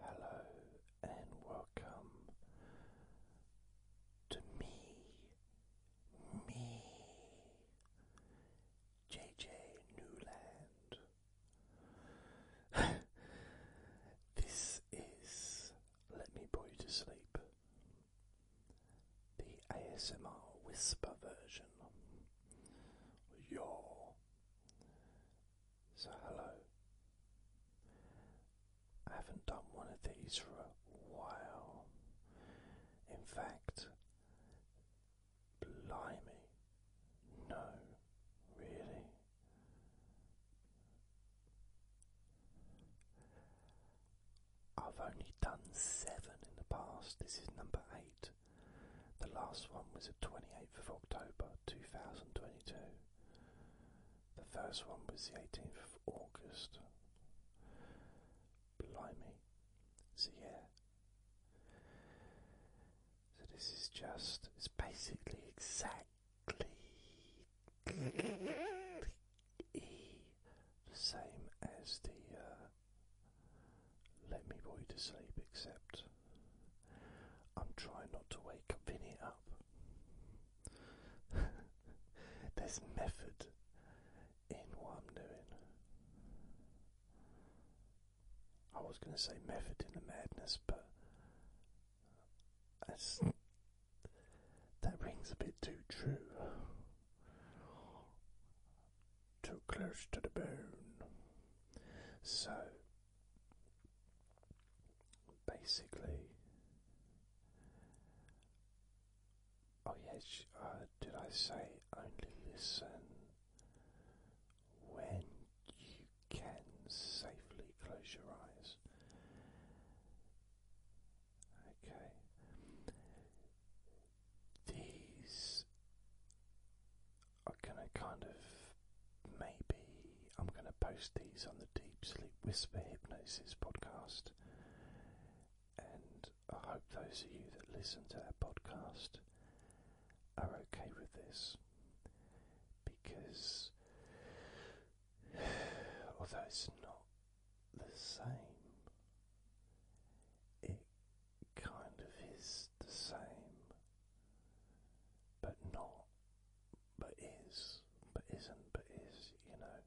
Hello and welcome to me, me, JJ Newland. this is Let Me put you to Sleep, the ASMR whisper version. Yo. So, hello. I haven't done one of these for a while. In fact, blimey, no, really. I've only done seven in the past. This is number eight. The last one was at 28 8th of October 2022. The first one was the 18th of August. Blimey. So, yeah. So, this is just, it's basically exactly the same as the uh, Let Me Boy to Sleep, except I'm trying not to wake Vinny up. There's method in what I'm doing. I was going to say method in the madness, but that's, that rings a bit too true. Too close to the bone. So, Basically, oh yes, uh, did I say only listen when you can safely close your eyes? Okay, these I'm gonna kind of maybe I'm gonna post these on the Deep Sleep Whisper Hypnosis podcast, and I hope those of you that listen to that podcast are okay with this because although it's not the same, it kind of is the same but not, but is, but isn't, but is, you know,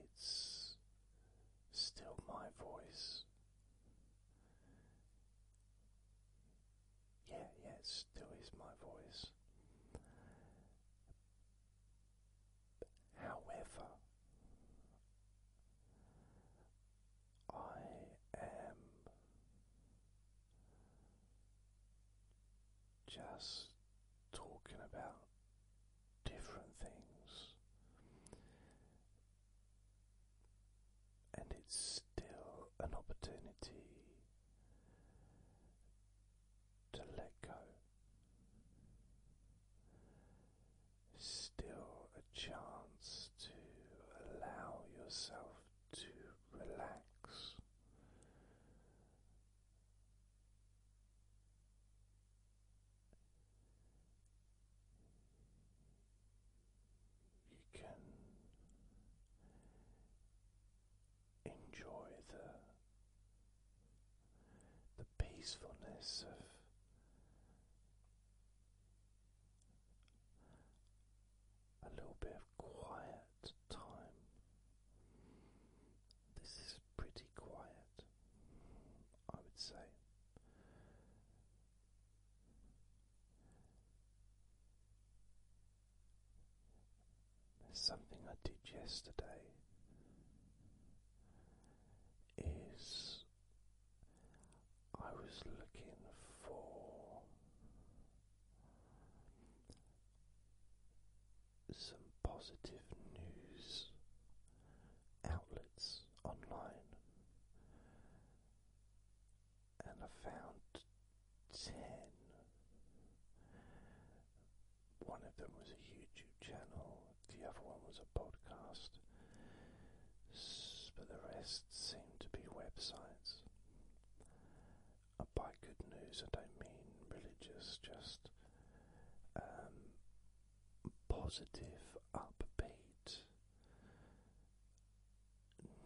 it's still my voice. Yeah, yeah, still is my voice. However, I am just talking about different things, and it's still an opportunity to let go. Still a chance to allow yourself to relax. You can enjoy the the peacefulness of a little bit of quiet time. This is pretty quiet, I would say. something I did yesterday is I was looking for some positive news outlets online, and I found ten. One of them was a YouTube channel, the other one was a podcast, but the rest seemed to be websites by good news, I don't mean religious, just um, positive, upbeat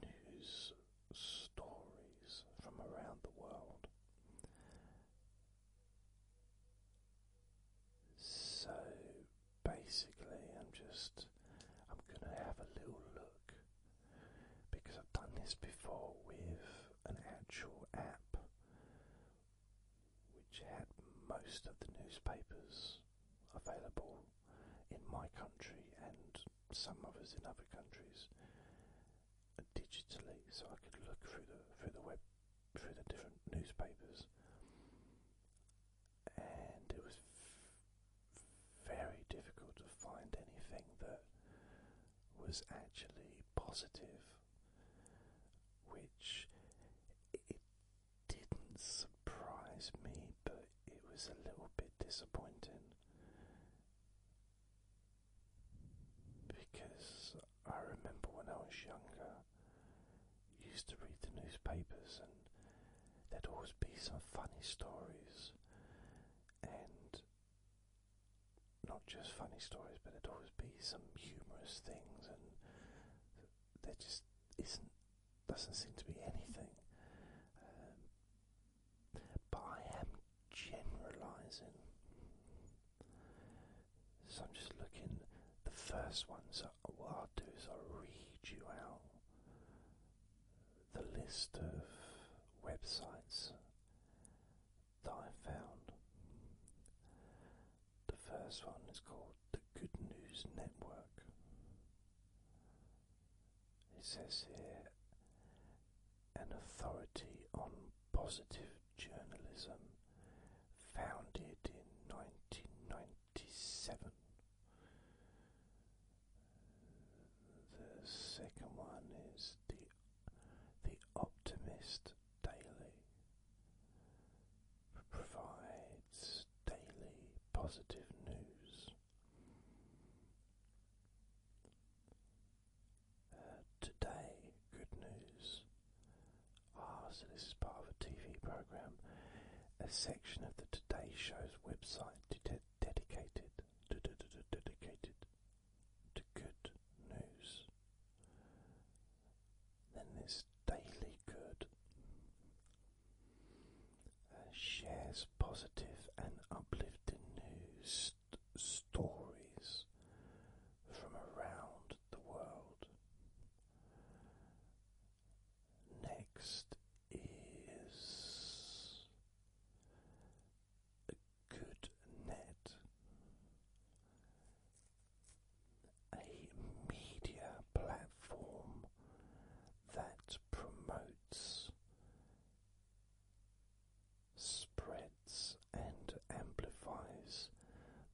news stories from around the world. So basically, I'm just I'm going to have a little look because I've done this before with an actual app which had most of the newspapers available in my country and some others in other countries digitally, so I could look through the through the web through the different newspapers and it was very difficult to find anything that was actually positive, which it didn't surprise me, but it was a little bit disappointing because I remember when I was younger, used to read the newspapers and there'd always be some funny stories and not just funny stories, but there'd always be some humorous things, and there just isn't, doesn't seem to be anything. Um, but I am generalizing. So I'm just looking. The first ones. so what I'll do is I'll read you out the list of websites that I found. The first one is called the Good News Network. It says here an authority on positive journalism founded in 1997. The second one is the the optimist daily provides daily positive news. Uh, today, good news. Ah, so this is part of a TV program. A section of the Today Show's website det dedicated, dedicated to good news. Then there's daily good. Uh, shares positive and uplifting news stories from around the world. Next is a good net, a media platform that promotes, spreads, and amplifies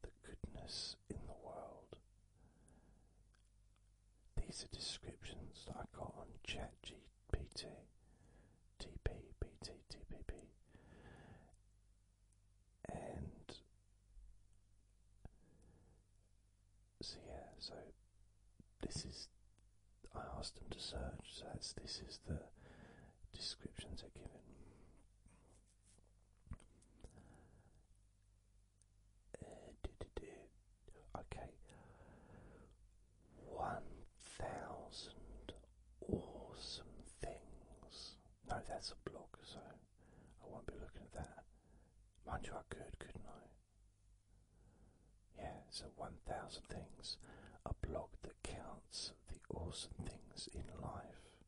the goodness in the world. These are descriptions that I got on ChatGPT, TP, and so yeah, so this is. I asked them to search, so this is the descriptions they're given. Uh, okay, one thousand awesome things. No, that's a blog, so I won't be looking at that. Mind you, I could, couldn't I? Yeah, so one thousand things. A blog that counts the awesome things in life.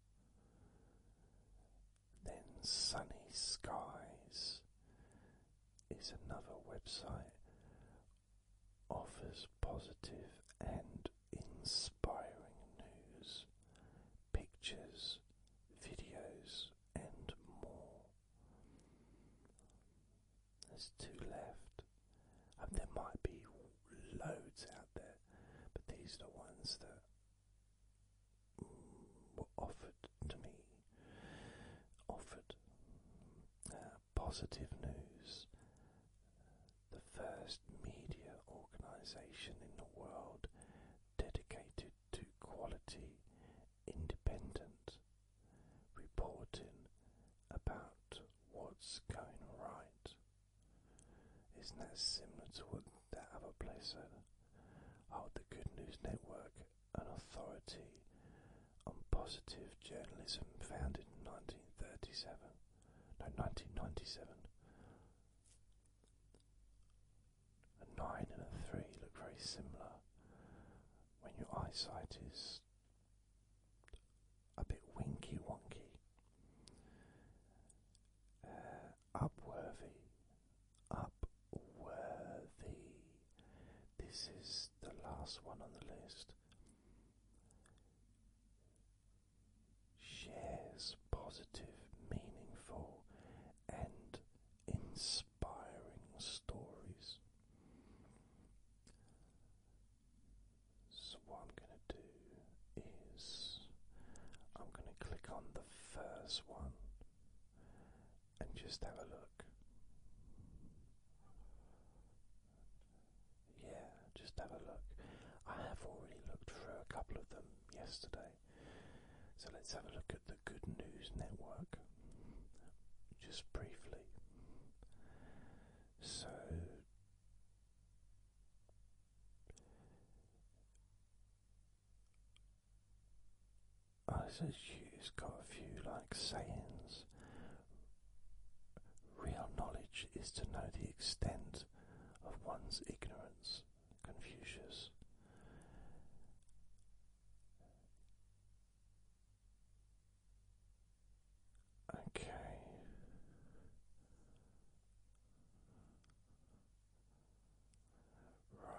Then sunny skies is another website offers positive and inspiring news, pictures, videos, and more. There's two left. and um, there might be loads out there, but these are the ones that were offered to me offered uh, positive news. The first media organization in the world dedicated to quality, independent reporting about what's going right. Isn't that similar to what that other place said? Oh, the Good News Network an authority on positive journalism founded in 1937, no, 1997. A 9 and a 3 look very similar when your eyesight is a bit winky wonky. Uh, upworthy Upworthy. This is the last one on the list. Shares positive, meaningful, and inspiring stories. So, what I'm going to do is I'm going to click on the first one and just have a look. Yeah, just have a look. I have already looked through a couple of them yesterday. So let's have a look at the Good News Network just briefly. So, Oh, I said it's got a few like sayings. Real knowledge is to know the extent of one's ignorance, Confucius. Okay. Right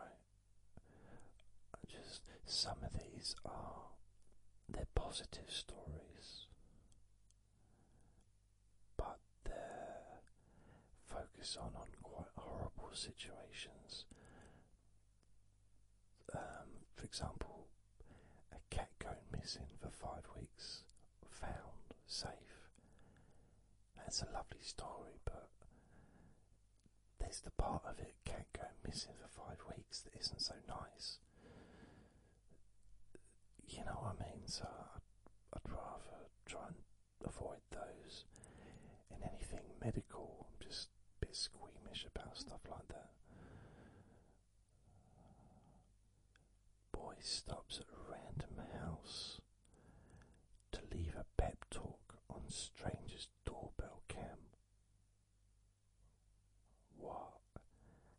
just some of these are they're positive stories, but they're focused on on quite horrible situations. Um, for example, a cat going missing for five weeks, found safe. That's a lovely story, but there's the part of it can't go missing for five weeks that isn't so nice. You know what I mean? So I'd, rather try and avoid those. And anything medical, I'm just a bit squeamish about stuff like that. Boy stops at random house to leave a pep talk on stranger's doorbell cam. What?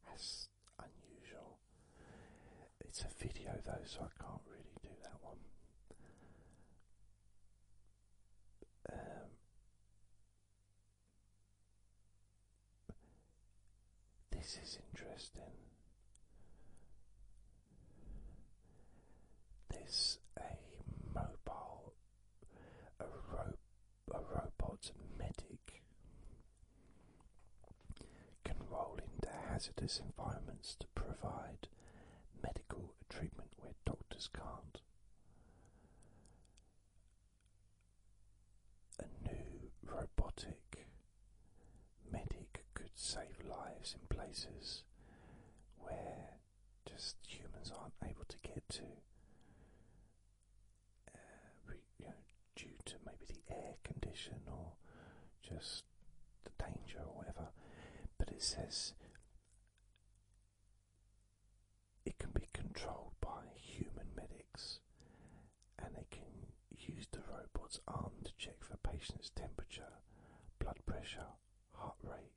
That's unusual. It's a video though, so I can't really do that one. Um, this is interesting. There's a mobile a, ro a robot medic can roll into hazardous environments to provide medical treatment where doctors can't. A new robotic medic could save lives in places where just humans aren't able to get to uh, due to maybe the air condition or just the danger or whatever. But it says it can be controlled by human medics and they can use the robot's arm to check for patient's temperature, blood pressure, heart rate,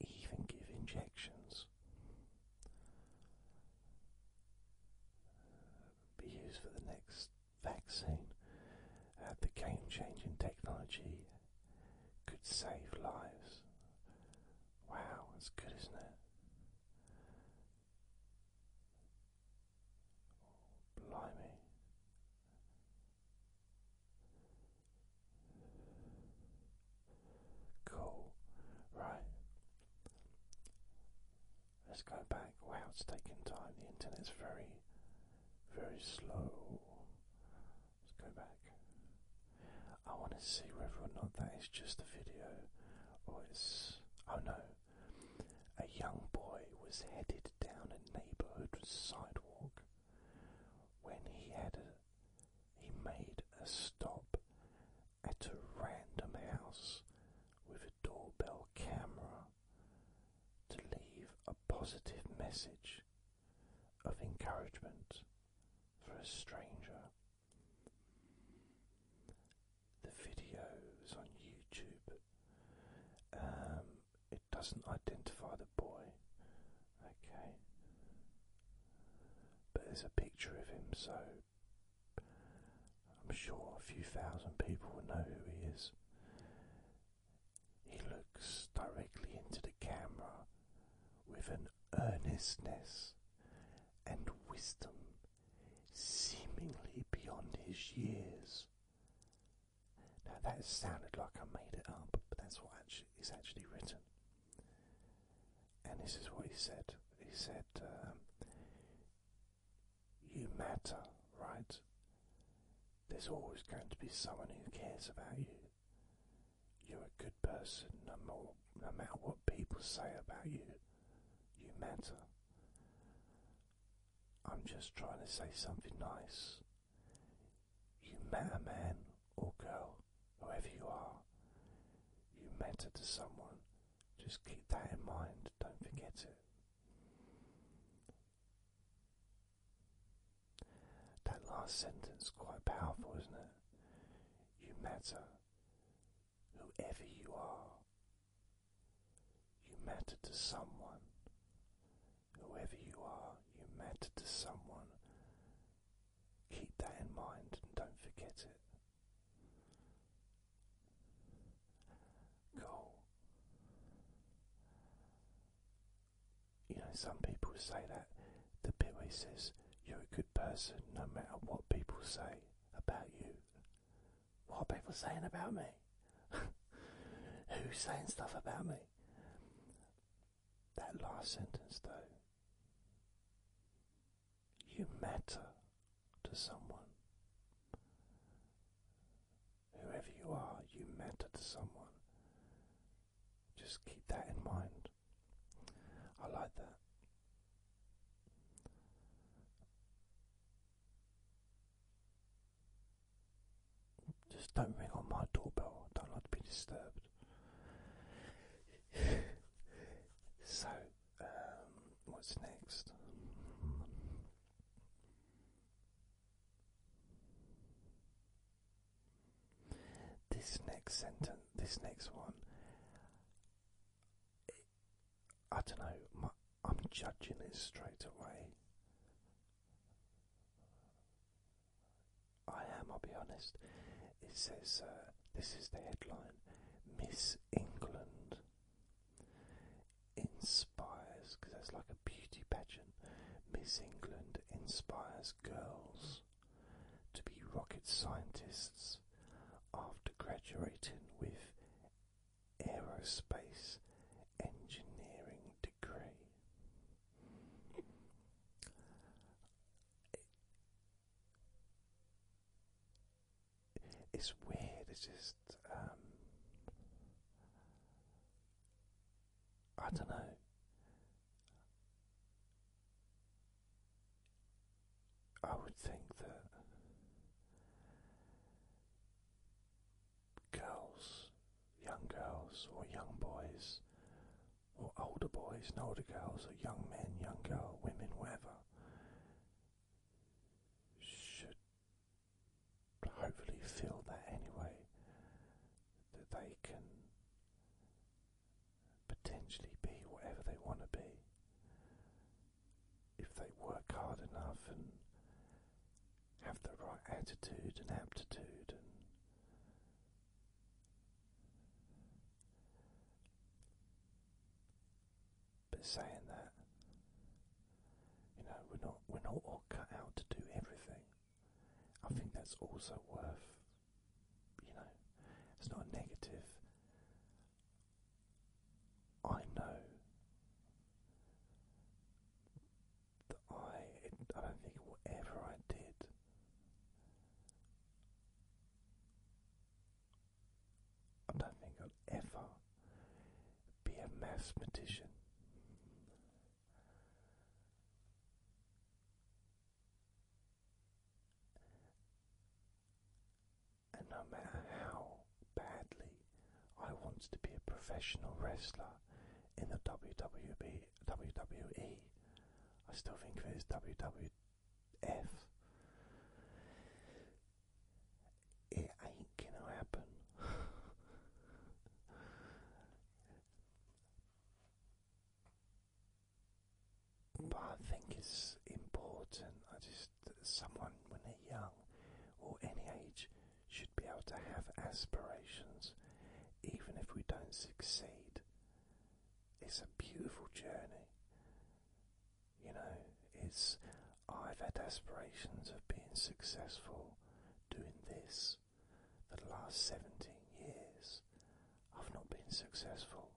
and even give injections. Be used for the next vaccine. Uh, the game changing technology could save lives. Wow, that's good, isn't it? Blimey. Cool. Right. Let's go back. Wow, it's taking time. The internet's very, very slow. Let's go back. I want to see whether or not that is just a video or it's. Oh no. A young boy was headed down a neighborhood sidewalk when he had a he made a stop at a random house with a doorbell camera to leave a positive message of encouragement for a stranger. The video is on YouTube. Um, it doesn't identify the boy, Okay. But there's a picture of him, so I'm sure a few thousand people will know who he is. He looks directly into the camera with an earnestness and wisdom seemingly beyond his years. Now that sounded like I made it up, but that's what actually is actually written. And this is what he said. He said, um, You matter, right? There's always going to be someone who cares about you. You're a good person no matter what people say about you. You matter. I'm just trying to say something nice. You met man or girl, whoever you are. You matter to someone. Just keep that in mind. Don't forget it. That last sentence quite powerful, isn't it? You matter. Whoever you are. You matter to someone. Whoever you are, you matter to someone keep that in mind and don't forget it. Goal. You know, some people say that the bit where he says you're a good person no matter what people say about you. What people saying about me? Who's saying stuff about me? That last sentence, though, you matter to someone. Whoever you are, you matter to someone. Just keep that in mind. I like that. Just don't ring on my doorbell. don't like to be disturbed. so, um, what's next? This next sentence, this next one, I don't know, I'm judging it straight away. I am, I'll be honest. It says, uh, this is the headline Miss England inspires, because it's like a beauty pageant. Miss England inspires girls to be rocket scientists after graduating with aerospace engineering degree it's weird. It's just um, I don't know. I would think that girls, young girls or young boys or older boys and older girls, or young men, young girl, women, whatever, should hopefully feel that anyway, that they can potentially be whatever they want to be if they work hard enough and have the right attitude and aptitude and but saying that, you know, we're not we're not all cut out to do everything. I think that's also worth, you know, it's not a negative. I know that I, I don't think whatever I did I don't think I'll ever be a mathematician. And no matter how badly I wanted to be a professional wrestler in the WWE, WWE, I still think of it as WWF. It ain't gonna happen. but I think it's important. I just, someone when they're young or any age should be able to have aspirations, even if we don't succeed it's a beautiful journey. You know, it's I've had aspirations of being successful doing this for the last 17 years. I've not been successful,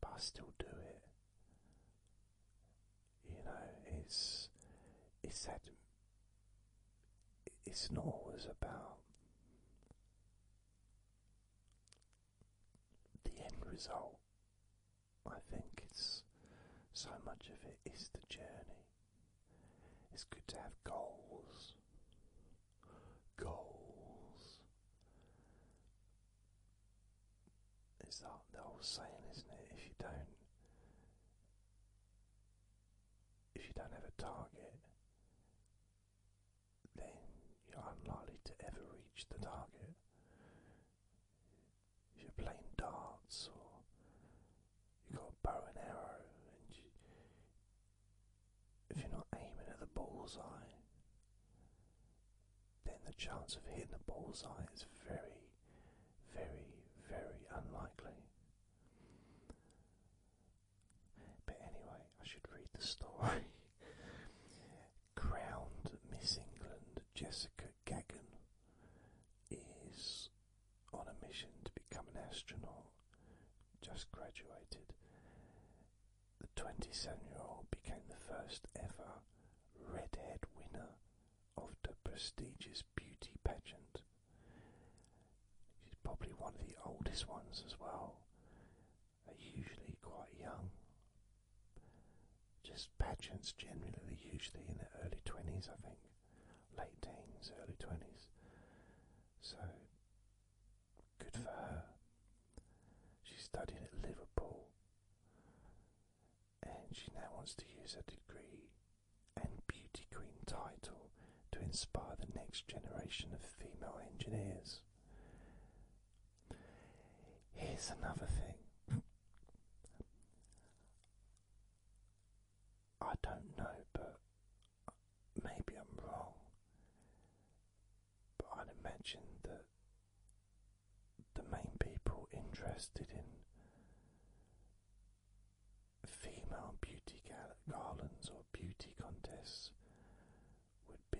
but I still do it. You know, it's it's that it's not always about the end result. I think it's so much of it is the journey. It's good to have goals, goals. It's that the old saying, isn't it? If you don't, if you don't have a target, then you're unlikely to ever reach the target. If you're playing darts or you've got a bow and arrow, and you, if you're not aiming at the bullseye, then the chance of hitting the bullseye is very, very, very unlikely. But anyway, I should read the story. Crowned Miss England Jessica Gaggan is on a mission to become an astronaut, just graduated. The 27 year old became the first ever redhead winner of the prestigious beauty pageant. She's probably one of the oldest ones as well. They're usually quite young. Just pageants generally, usually in their early 20s, I think. Late teens, early 20s. So, good for her. She studied at Liverpool and she now wants to use her degree and beauty queen title to inspire the next generation of female engineers. Here's another thing. I don't know, but maybe I'm wrong. But I'd imagine that the main people interested in female beauty garlands or beauty contests would be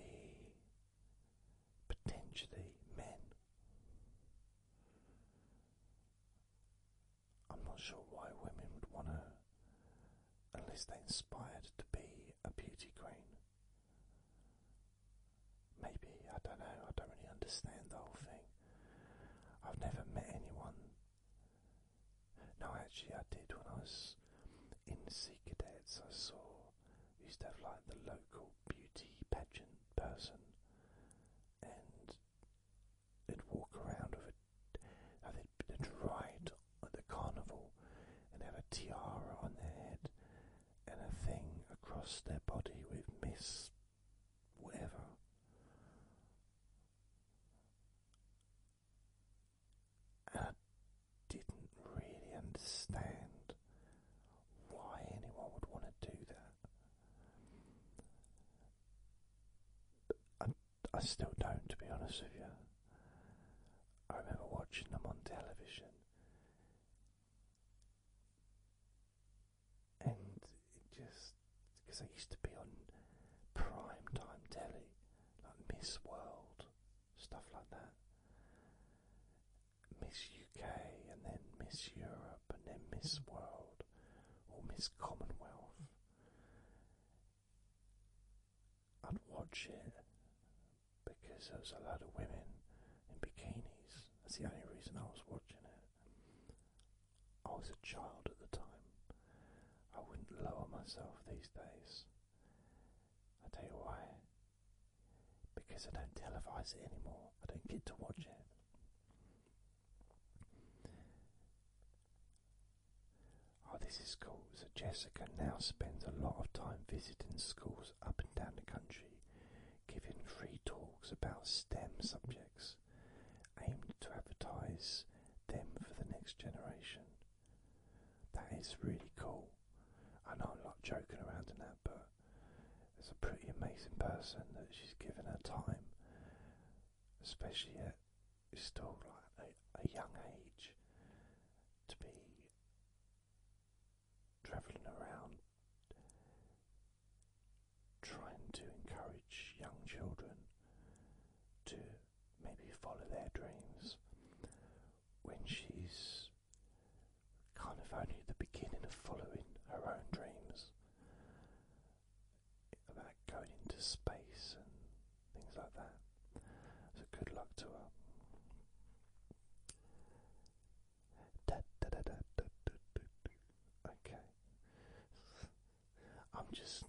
potentially men. I'm not sure why women would want to, unless they're inspired to be a beauty queen. Maybe, I don't know, I don't really understand the whole thing. I've never met anyone no, actually, I did when I was in Sea Cadets. I saw used to have like the local beauty pageant person, and they'd walk around with a, they'd, ride at the carnival and have a tiara on their head and a thing across their body with Miss whatever. I uh, didn't really understand why anyone would want to do that. I, I still don't, to be honest with you. I remember watching them on television. And it just because they used to be on prime time telly, like Miss World, stuff like that. Miss UK and then Miss Europe and then Miss World or Miss Commonwealth. I'd watch it because there was a lot of women in bikinis. That's the only reason I was watching it. I was a child at the time. I wouldn't lower myself these days. I'll tell you why. Because I don't televise it anymore. I don't get to watch it. Oh, this is cool. So, Jessica now spends a lot of time visiting schools up and down the country, giving free talks about STEM subjects aimed to advertise them for the next generation. That is really cool. I know I'm not joking around in that, but it's a pretty amazing person that she's given her time, especially at still like a, a young age, to be travelling around trying to encourage young children to maybe follow their dreams when she's kind of only at the beginning of following her own dreams about going into space and things like that. So good luck to her. Okay. I'm just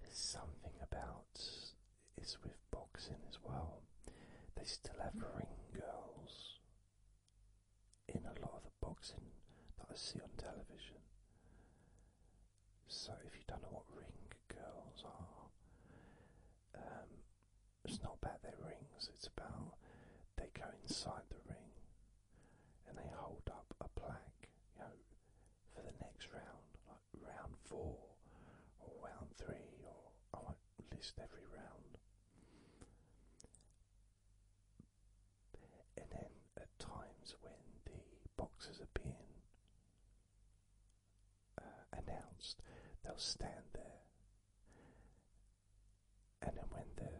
there's something about it's with boxing as well. They still have ring girls in a lot of the boxing that I see on television. So if you don't know what ring girls are, um, it's not about their rings. It's about they go inside the ring and they hold up a plaque, you know, for the next round, like round four or round three, or I won't list every round. And then at times when the boxes are being uh, announced, they'll stand there. And then when the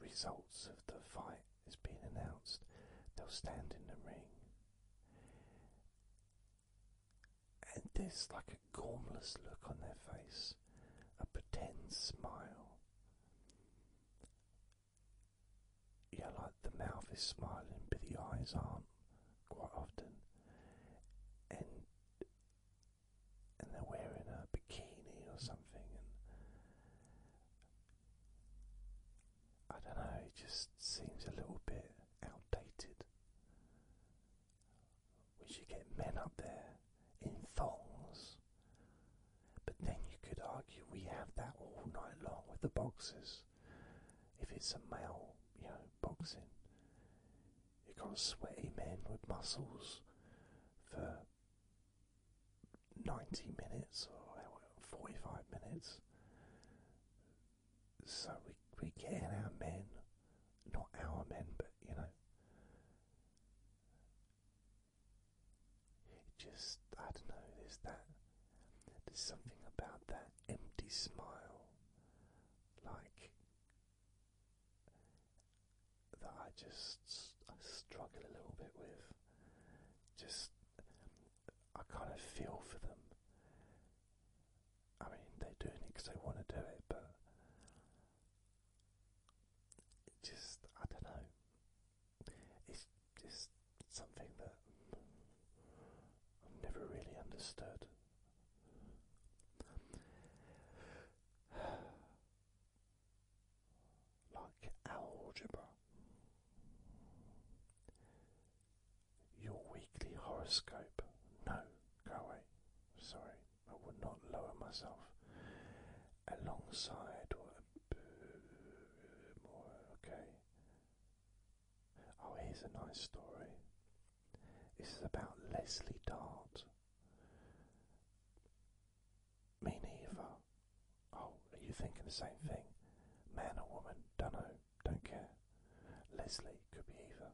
results of the fight has been announced, they'll stand in the ring. And there's like a gormless look on their face, a pretend smile. Yeah, like the mouth is smiling, but the eyes aren't quite often. And and they're wearing a bikini or something, and I don't know, it just seems a little bit outdated. We should get men up there in thongs. But then you could argue we have that all night long with the boxers. If it's a male, you know, boxing, you've got sweaty men with muscles for 90 minutes or 45 minutes. So we, we get in our men, not our men, but you know. just, I don't know, there's that, there's something about that empty smile, like, that I just I struggle a little bit with. Just, I kind of feel for them. I mean, they're doing it because they want to do it, but just, I don't know. It's just something that I've never really understood. like algebra. Your weekly horoscope. No, go away. Sorry, I would not lower myself. Alongside or okay. Oh, here's a nice story. This is about Leslie Dart. Me neither. Oh, are you thinking the same thing? Man or woman? Dunno, don't care. Leslie could be either.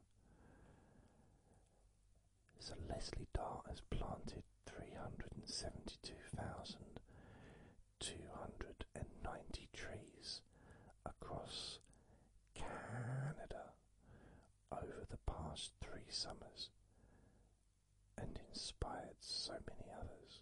So Leslie Dart has planted 372,290 trees across Canada over the past three summers and inspired so many others.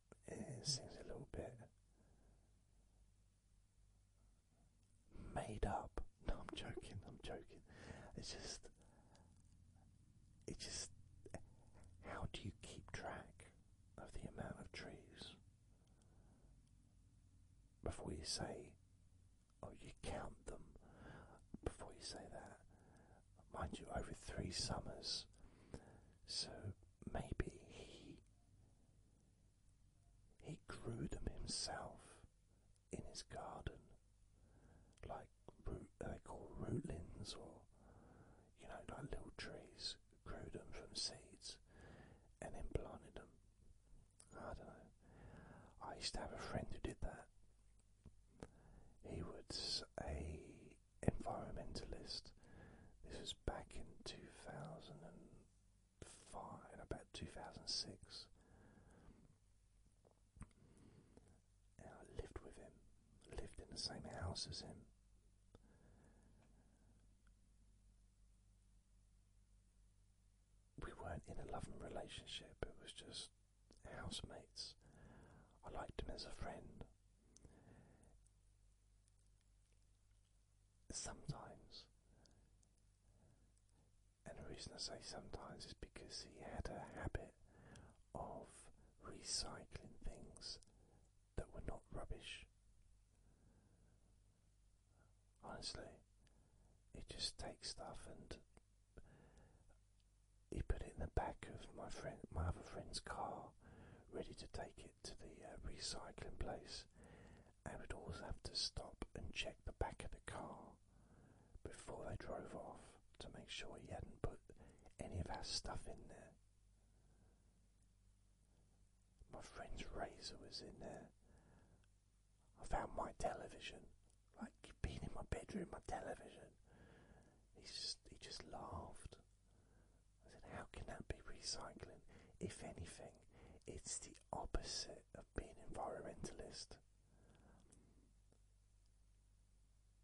it seems a little bit made up. No, I'm joking, I'm joking. It's just, it's just, how do you keep track of the amount of trees before you say, oh, you count them? Before you say that, mind you, over three summers, so maybe he he grew them himself in his garden, like root, call rootlings, or you know, like little trees. Grew them from seeds, and then planted them. I don't know. I used to have a friend who did that. He was a environmentalist. This was back in two thousand and 2005, about 2006. I lived with him, lived in the same house as him. We weren't in a loving relationship, it was just housemates. I liked him as a friend sometimes. And the reason I say sometimes is because he had a habit of recycling things that were not rubbish. Honestly, he just takes stuff and he put it in the back of my friend, my other friend's car, ready to take it to the uh, recycling place things. I would always have to stop and check the back of the car before they drove off to make sure he hadn't put any of our stuff in there. My friend's razor was in there. I found my television. Like, you've been in my bedroom, my television. He just, he just laughed. I said, how can that be recycling? If anything, it's the opposite of being environmentalist.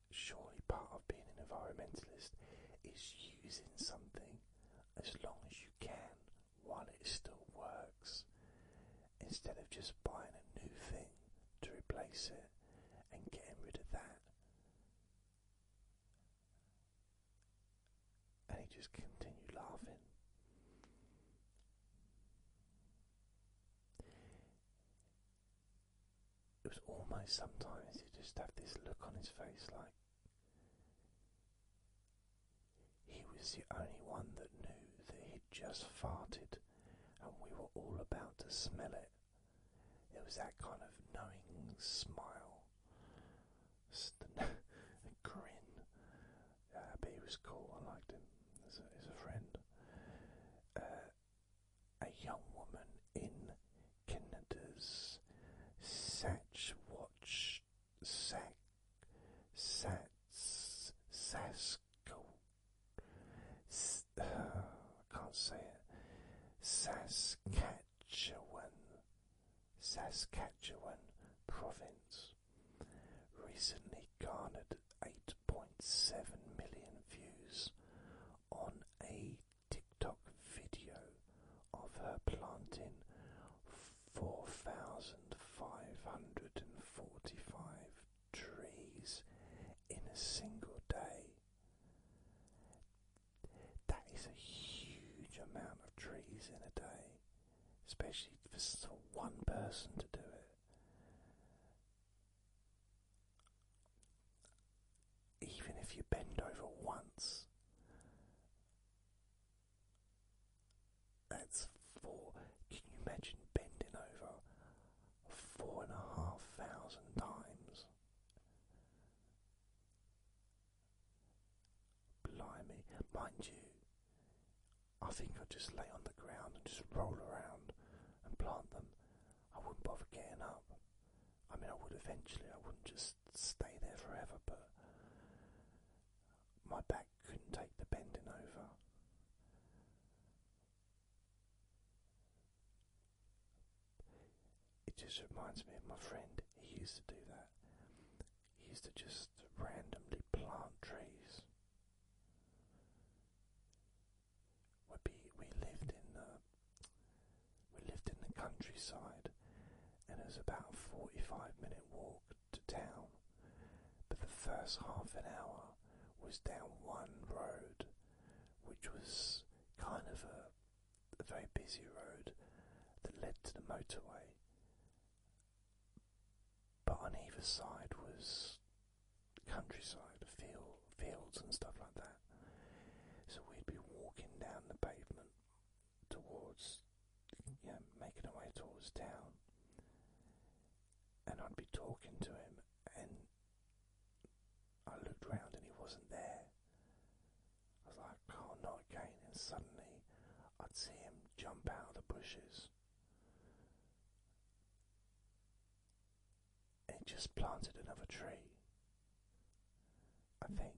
Surely part of being an environmentalist is using something as long as you can while it still works instead of just buying a new thing to replace it and getting rid of that. And he just continued laughing. It was almost sometimes he just had this look on his face like he was the only one that knew that he'd just farted and we were all about to smell it. It was that kind of knowing smile grin. but he was cool. I liked him as a, friend. Uh, a young woman in Canada's Satch Watch Sack can't say it. Saskatchewan. Saskatchewan, province recently garnered 8.7 million views on a TikTok video of her planting 4,545 trees in a single day. That is a huge amount of trees in a day, especially for one person to do it. Even if you bend over once, that's four. Can you imagine bending over four and a half thousand times? Blimey. Mind you, I think I'd just lay on the ground and just roll around and plant them. I wouldn't bother getting up. I mean, I would eventually, I wouldn't just stay there forever, but my back couldn't take the bending over. It just reminds me of my friend, he used to do that. He used to just randomly plant trees. We be, we lived in the uh, we lived in the countryside, and it was about a forty-five minute walk to town. But the first half an hour was down one road, which was kind of a the very busy road that led to the motorway. But on either side was countryside, field, fields and stuff like that. So we'd be walking down the pavement towards, yeah, making our way towards town. And I'd be talking to him, and I looked round and he wasn't there. I was like, oh, not again. And suddenly I'd see him jump out of the bushes. he just planted another tree. I think.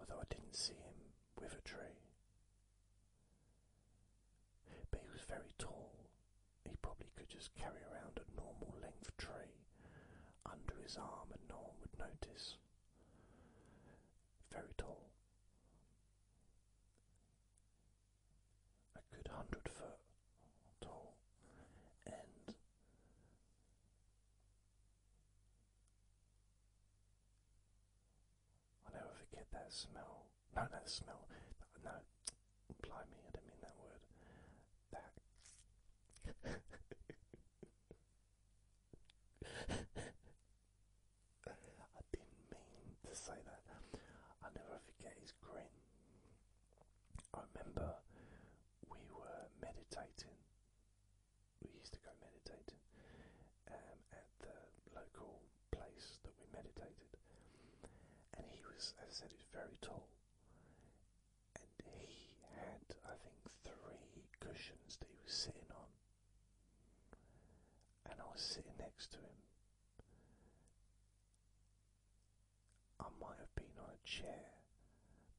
Although I didn't see him with a tree. But he was very tall. He probably could just carry around a normal length tree under his arm and no one would notice very tall, a good hundred foot tall, and i never forget that smell. No, that smell. No, blimey, I didn't mean that word. That. I didn't mean to say that. I'll never forget his grin. I remember we were meditating. We used to go meditating um, at the local place that we meditated, and he was, as I said, he was very tall, and he had, I think, three cushions that he was sitting on, and I was sitting next to him. I might have been on a chair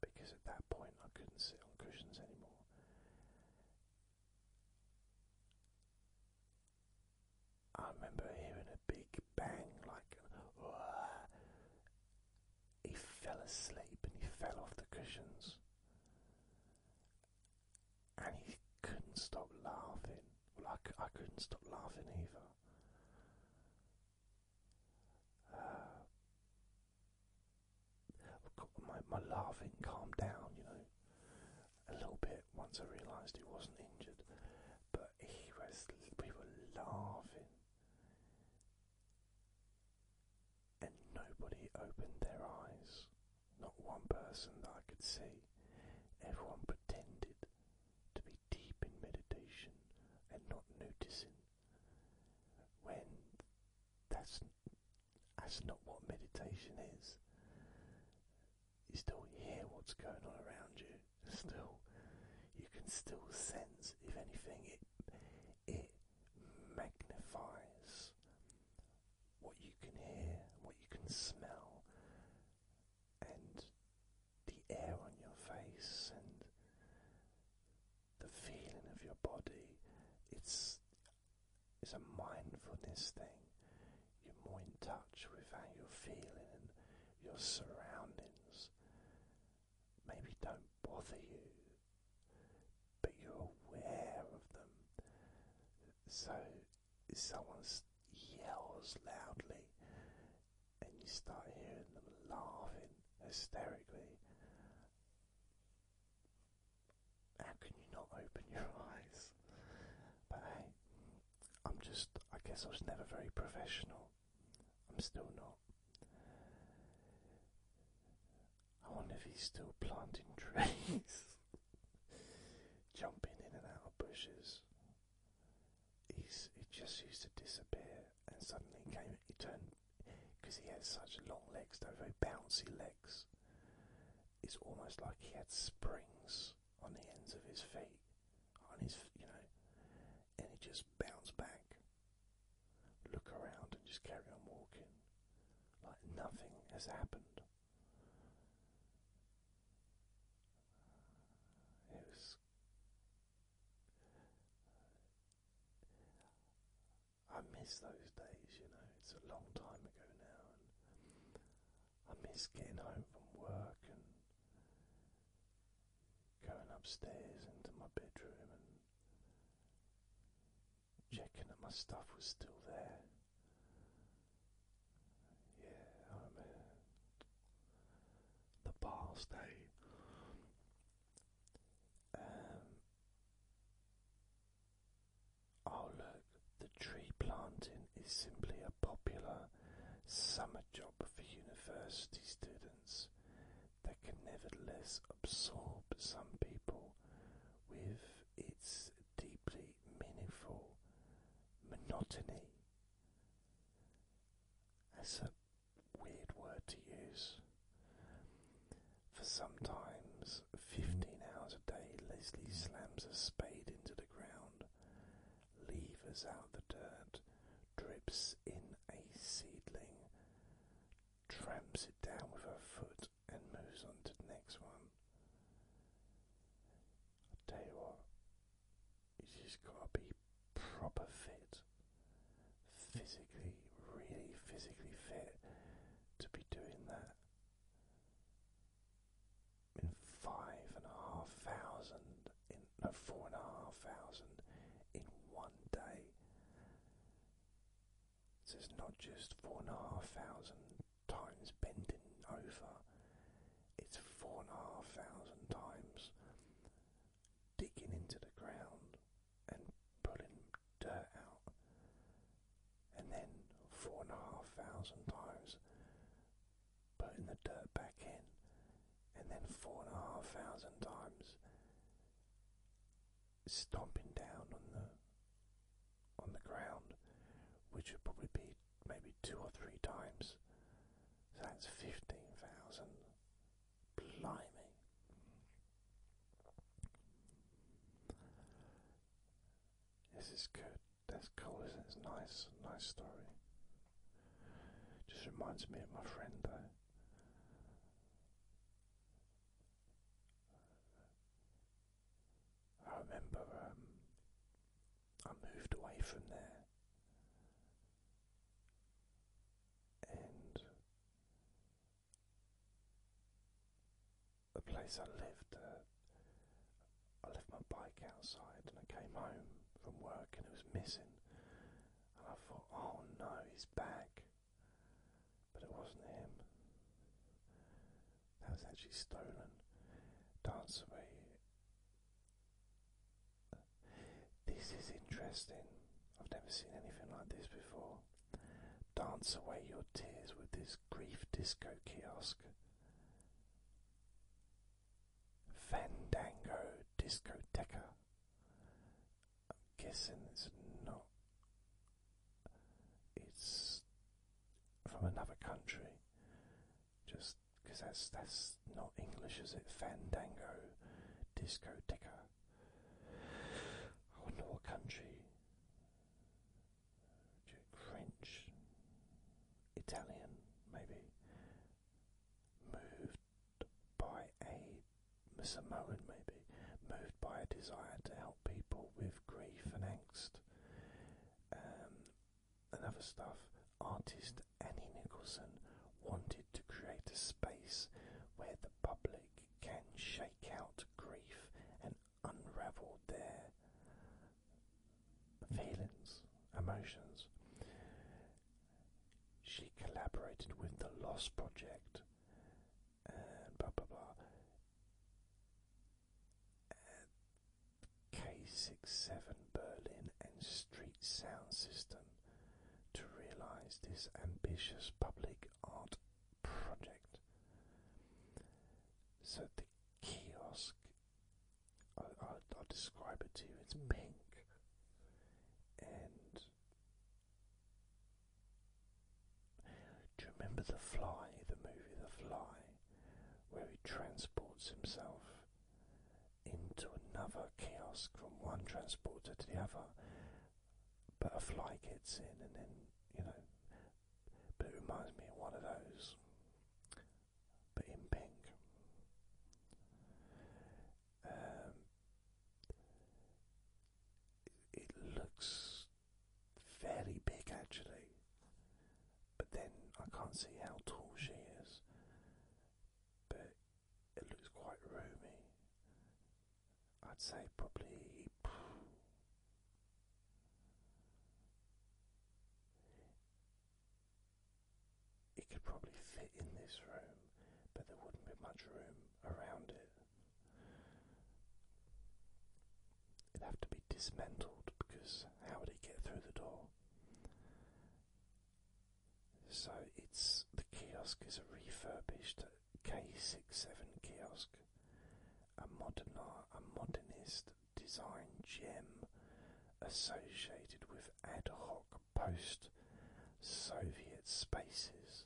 because at that point I couldn't sit on cushions anymore. I remember hearing a big bang, like, he fell asleep and he fell off the cushions. And he couldn't stop laughing. I, I couldn't stop laughing either. Uh, my, my laughing calmed down, you know, a little bit once I realised he wasn't injured. But he was, we were laughing and nobody opened their eyes. Not one person that I could see. Everyone pretended to be deep in meditation and not noticing. When that's that's not what meditation is. You still hear what's going on around you. Still, you can still sense. If anything, it it magnifies what you can hear, what you can smell, and the air on your face, and the feeling of your body. It's it's a mindfulness thing. You're more in touch with how you're feeling and your surroundings maybe don't bother you, but you're aware of them. So someone yells loudly, and you start hearing them laughing hysterically. How can you not open your eyes? But hey, I'm just, I guess I was never very professional. I'm still not. I wonder if he's still planting trees, jumping in and out of bushes. He's, he just used to disappear, and suddenly he came. He turned because he has such long legs, though very bouncy legs. It's almost like he had springs on the ends of his feet, on his, you know, and he just bounced back look around and just carry on walking like nothing has happened. It was. I miss those days, you know, it's a long time ago now, I miss getting home from work and going upstairs into my bedroom and checking that my stuff was still there. Yeah, the past day. Um, oh look, the tree planting is simply a popular summer job for university students that can nevertheless absorb some people with its deeply meaningful monotony. That's a weird word to use. For sometimes, 15 hours a day, Leslie slams a spade into the ground, levers out the dirt, drips in a seedling, tramps it down with her foot and moves on to the next one. I tell you what, you just gotta be proper fit, physically, really physically fit to be doing that. In five and a half thousand, no, four and a half thousand in one day. So it's not just four and a half thousand times bending over, it's four and a half thousand times digging into the ground and pulling dirt out, and then four and a half thousand times putting the dirt back in, and then four and a half thousand times stomping down on the on the ground, which would probably be maybe two or three times. that's fifteen thousand. Blimey. This is good. That's cool, is It's nice, nice story. Just reminds me of my friend though. I remember um, I moved away from there and the place I lived, uh, I left my bike outside and I came home from work and it was missing and I thought, oh no, he's back. But it wasn't him. That was actually stolen. Dance away. This is interesting. I've never seen anything like this before. Dance away your tears with this grief disco kiosk. Fandango Discoteca. I'm guessing it's not. It's from another country, just because that's that's not English, is it? Fandango, discoteca. I wonder what country. French, Italian, maybe. Moved by a Samoan, maybe, moved by a desire to help people with grief and angst um, and other stuff. Artist Annie Nicholson wanted to create a space where the public can shake out grief and unravel their feelings, emotions. She collaborated with the Lost Project and blah blah blah. And k seven Berlin and Street Sound System to realize this ambitious public art project. So the kiosk, I, I'll describe it to you, it's hmm. pink and do you remember The Fly, the movie The Fly, where he transports himself into another kiosk from one transporter to the other? But a fly gets in, and then, you know, but it reminds me of one of those, but in pink. Um, it looks fairly big actually, but then I can't see how tall she is, but it looks quite roomy. I'd say probably. It could probably fit in this room, but there wouldn't be much room around it. It'd have to be dismantled because how would it get through the door? So it's the kiosk is a refurbished K67 kiosk, a modern a modernist design gem associated with ad hoc post Soviet spaces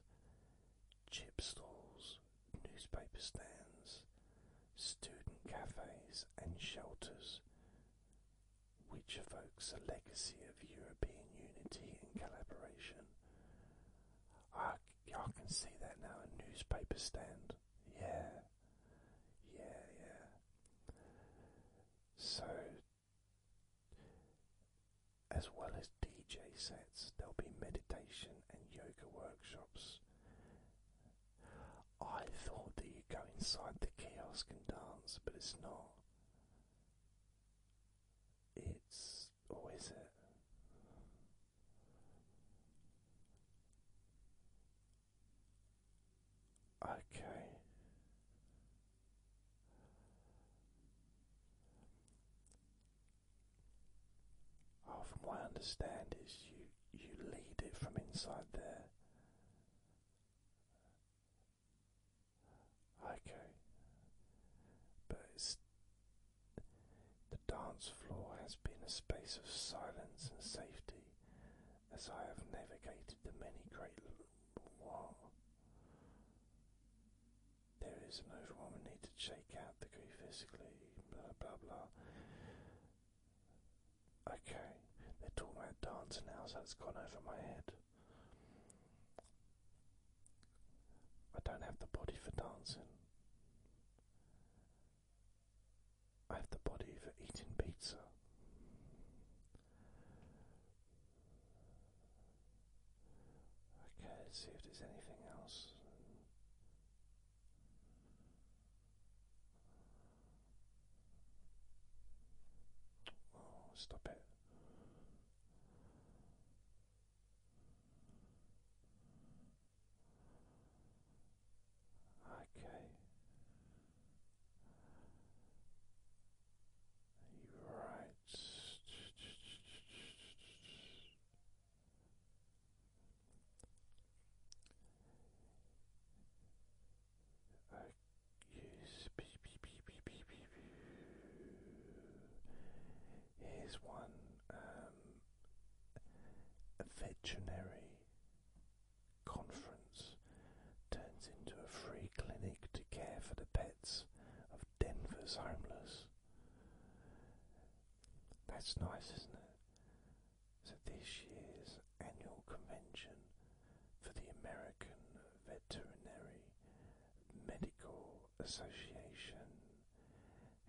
chip stalls, newspaper stands, student cafes and shelters, which evokes a legacy of European unity and collaboration. I, I can see that now, a newspaper stand. Yeah, yeah, yeah. So as well as DJ sets, there'll be meditation and yoga workshops. I thought that you go inside the kiosk and dance, but it's not. It's. or is it? Okay. Oh, from what I understand, is you you lead it from inside there. Okay, but the dance floor has been a space of silence and safety, as I have navigated the many great. Wow. There is an We need to shake out the grief physically, blah blah. Okay, they're talking about dancing now, so it's gone over my head. I don't have the body for dancing. I have the body for eating pizza. Okay, let's see if there's anything else. Oh, stop it. Okay. You're right. Here's one um, a veterinary conference turns into a free clinic to care for the pets Denver's homeless. That's nice, isn't it? So, this year's annual convention for the American Veterinary Medical Association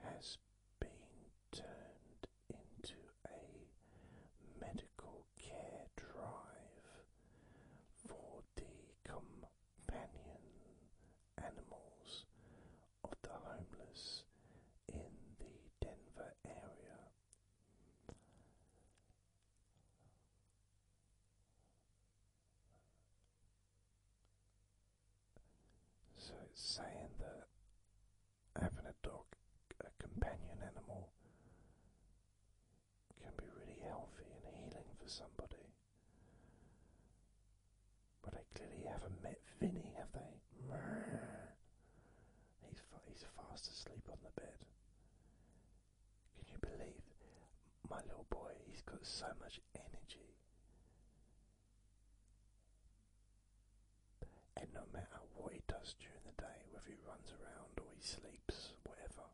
has been turned into a medical care drive for the companion animals of the homeless in the Denver area. So it's saying that having a dog, a companion animal, can be really healthy and healing for somebody. But they clearly haven't met Vinny, have they? He's he's fast asleep on the bed. Can you believe my little boy? He's got so much energy. And no matter what he does during the day, whether he runs around or he sleeps, whatever,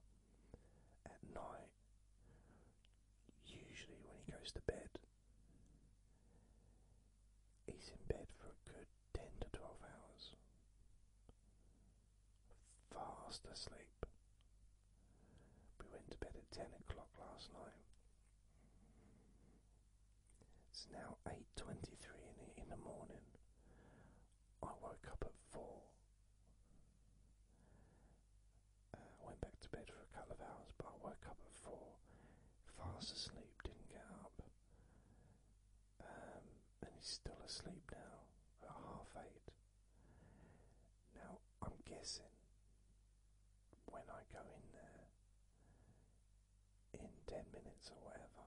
at night night, usually when he goes to bed, he's in bed for a good 10 to 12 hours, fast asleep. We went to bed at 10 o'clock last night. It's now 8.23 in the, in the morning. I woke up at 4 uh, went back to bed for a couple of hours, but I woke up at four, fast asleep, didn't get up. Um, and he's still asleep now at half eight. Now, I'm guessing when I go in there in 10 minutes or whatever,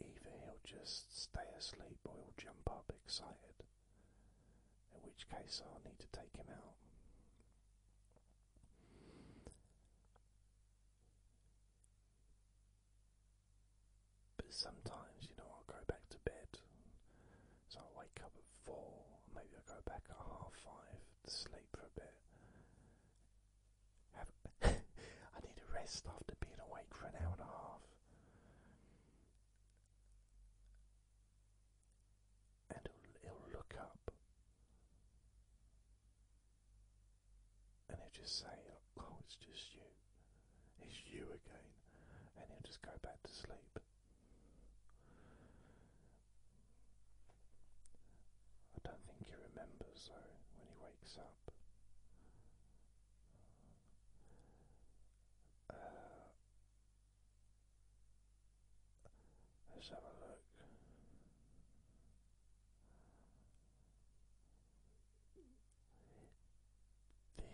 either he'll just stay asleep or he'll jump up excited in which case I'll need to take him out. But sometimes, you know, I'll go back to bed, so i wake up at four, maybe i go back at half five to sleep for a bit. I need a rest after being awake for an hour and a half and it'll, look up and it'll just say, oh, it's just you. It's you again. And he'll just go back to sleep. I don't think he remembers though when he wakes up. Uh, let's have a look.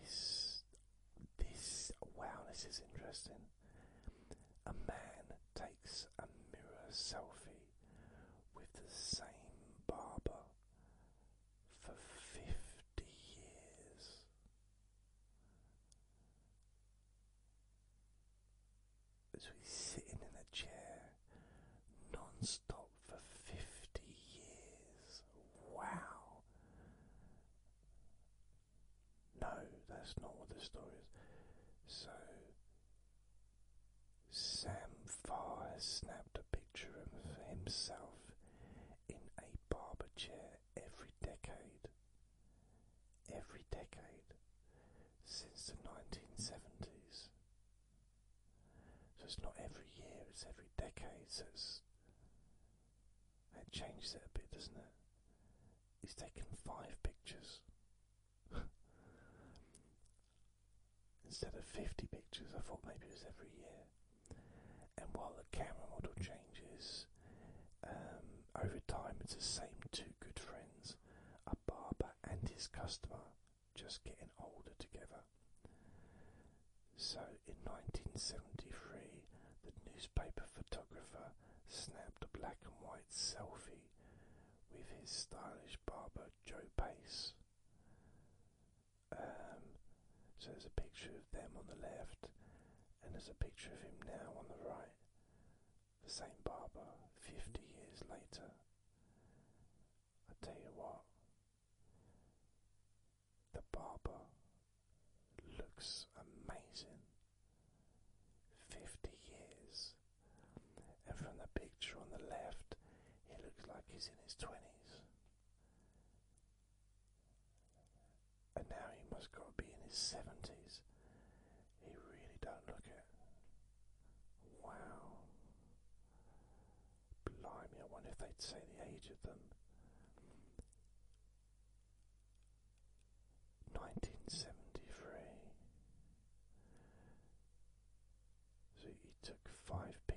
This, this, wow, this is interesting. A man takes a mirror selfie with the same barber for fifty years. As we sitting in a chair non-stop for fifty years. Wow. No, that's not what the story is. So Sam Far has snapped a picture of himself in a barber chair every decade. Every decade since the 1970s. So it's not every year, it's every decade. So it's, that changes it a bit, doesn't it? He's taken five pictures instead of 50 pictures. I thought maybe it was every year and while the camera model changes um, over time, it's the same two good friends, a barber and his customer, just getting older together. So in 1973, the newspaper photographer snapped a black and white selfie with his stylish barber Joe Pace. Um, so there's a picture of them on the left, and there's a picture of him now on the right. The same barber, 50 years later. I tell you what, the barber looks amazing. 50 years. And from the picture on the left, he looks like he's in his 20s. And now he must got to be in his seventies. He really don't look it. Wow. Blimey, I wonder if they'd say the age of them. 1973. So he took five p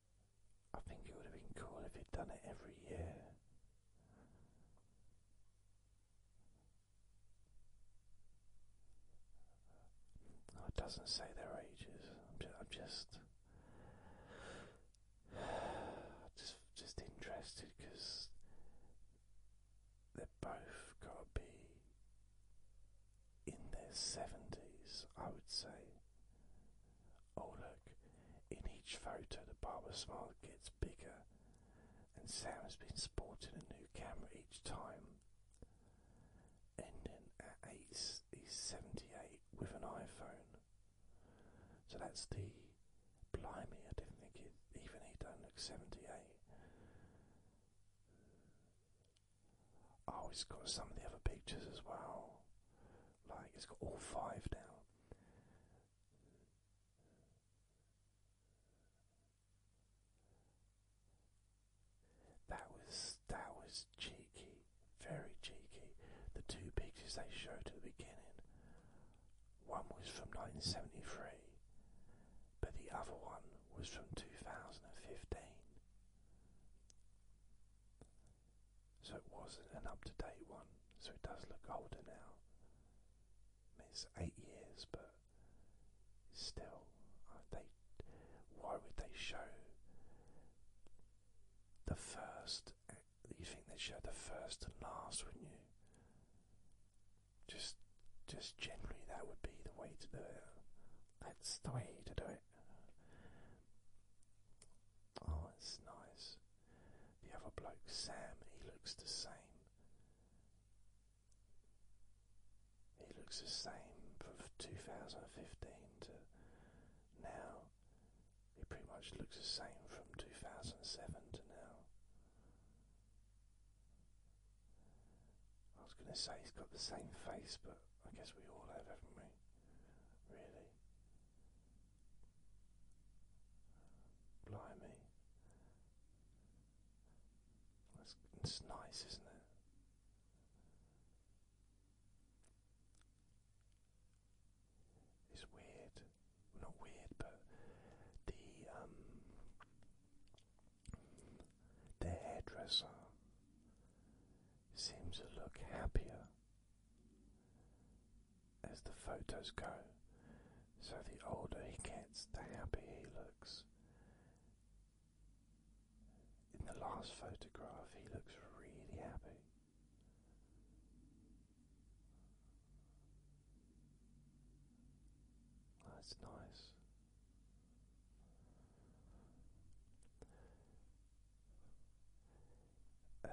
I think it would have been cool if you'd done it every year. Oh, it doesn't say their ages. I'm just, just, just, interested because they've both got to be in their 70s, I would say. Oh, look, in each photo, the barber's smile gets bigger, and Sam has been sporting a new camera each time. Ending at 8, he's 78 with an iPhone. So that's the. Blimey, I didn't think it. Even he don't look 78. Oh, it's got some of the other pictures as well. Like, it's got all five now. That was that was cheeky, very cheeky. The two pictures they showed at the beginning, one was from 1973, but the other one was from 2015 so it wasn't an up to date one, so it does look older now. it's eight years, but still, uh, they why would they show the first? You think they show the first and last, would you? Just, just generally, that would be the way to do it. That's the way to do it. Oh, it's nice. The other bloke, Sam, he looks the same. He looks the same from 2015 to now. He pretty much looks the same from 2007 to now. I was going to say he's got the same face, but I guess we all have, haven't we? really. Blimey. it's nice, isn't it? It's weird. not weird, but the um, the hairdresser seems to look happier as the photos go. So the older he gets, the happier he looks. In the last photograph, he looks really happy. That's nice. Um,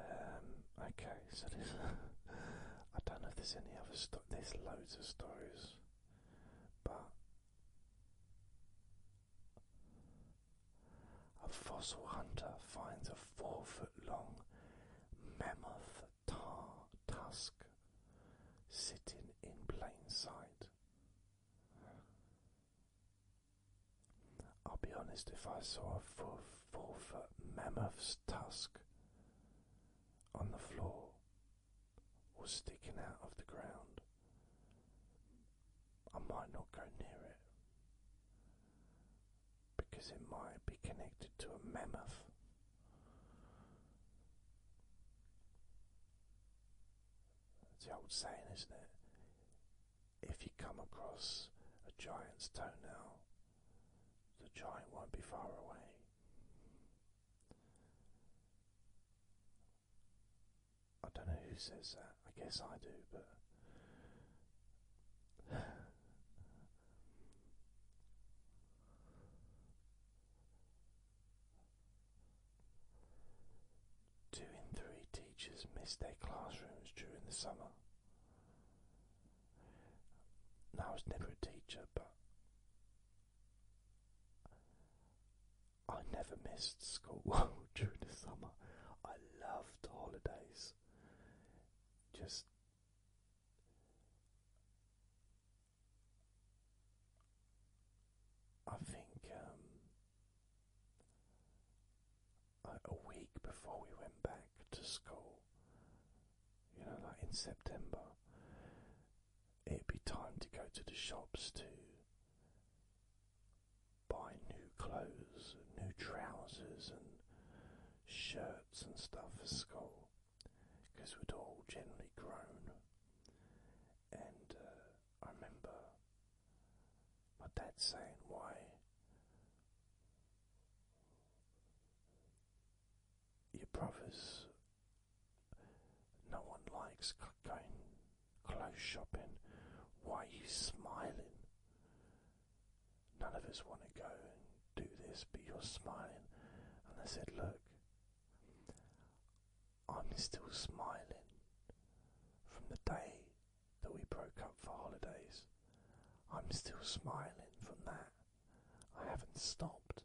okay, so I don't know if there's any other stories. There's loads of stories, but a fossil hunter finds a four-foot-long mammoth tusk sitting in plain sight. I'll be honest, if I saw a four, foot mammoth's tusk on the floor or sticking out of the ground, I might not go near it because it might be connected to a mammoth. It's the old saying, isn't it? if you come across a giant's toenail, the giant won't be far away. I don't know who says that. I guess I do, but. Two in three teachers missed their classrooms during the summer. I was never a teacher, but I never missed school during the summer. I loved holidays. Just I think um, like a week before we went back to school, you know, like in September, it'd be time to go to the shops to buy new clothes, new trousers, and shirts and stuff for school because we'd all generally grown. And uh, I remember my dad's saying, Why? Your brothers, no one likes going clothes shopping. Why are you smiling? None of us want to go and do this, but you're smiling. And I said, Look, I'm still smiling from the day that we broke up for holidays. I'm still smiling from that. I haven't stopped.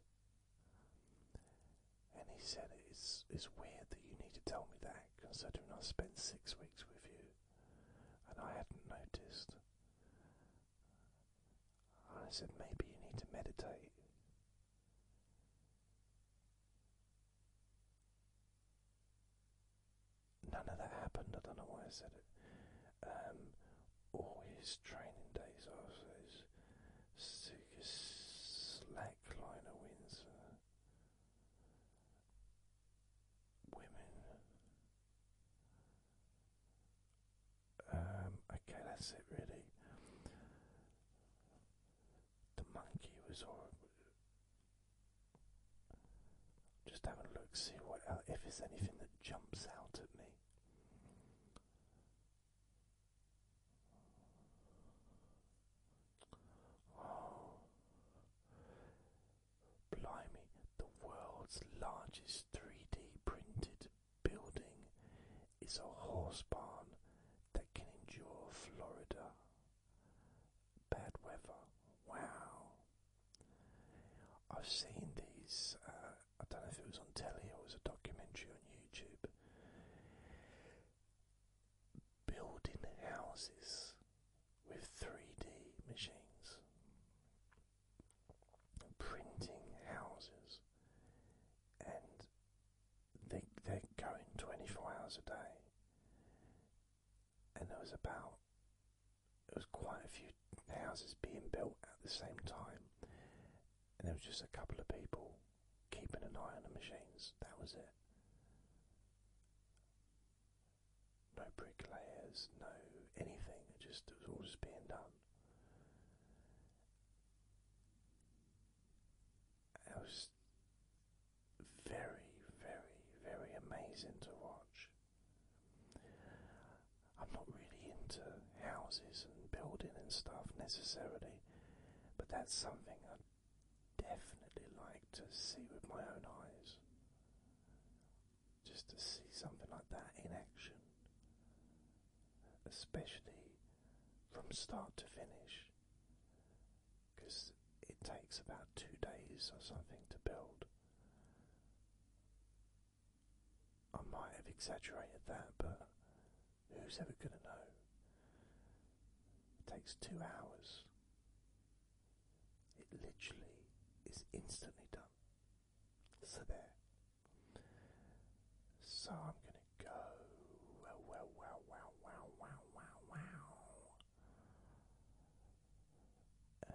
And he said, it's, it's weird that you need to tell me that, considering I spent six weeks with you and I hadn't noticed. I said, maybe you need to meditate. None of that happened. I don't know why I said it. Um, all his training days after his slackliner wins. women. Um, okay, that's it really the monkey was all. Just have a look, see what uh, if there's anything that jumps out at me. Oh. blimey! The world's largest 3D printed building is a horse barn that can endure Florida. Bad weather. Wow. I've seen these. Uh, I don't know if it was on telly or it was a documentary on YouTube. Building houses with 3D machines, printing houses, and they, they're going 24 hours a day and there was about there was quite a few houses being built at the same time, and there was just a couple of people keeping an eye on the machines. That was it. No bricklayers, no anything. It just it was all just being done it was very, very, very amazing to watch. I'm not really into houses and building and stuff necessarily, but that's something I'd definitely like to see with my own eyes. Just to see something like that in action, especially from start to finish because it takes about two days or something to build. I might have exaggerated that, but who's ever going to know? It takes two hours. It literally is instantly done. So there. So I'm going to go. Wow, wow, wow, wow, wow, wow, wow, wow. Uh,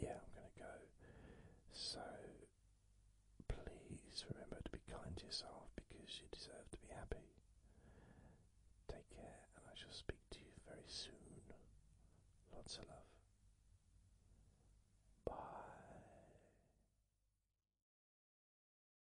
yeah, I'm going to go. So please remember to be kind to yourself because you deserve to be happy. Take care, and I shall speak to you very soon. Lots of love. Bye.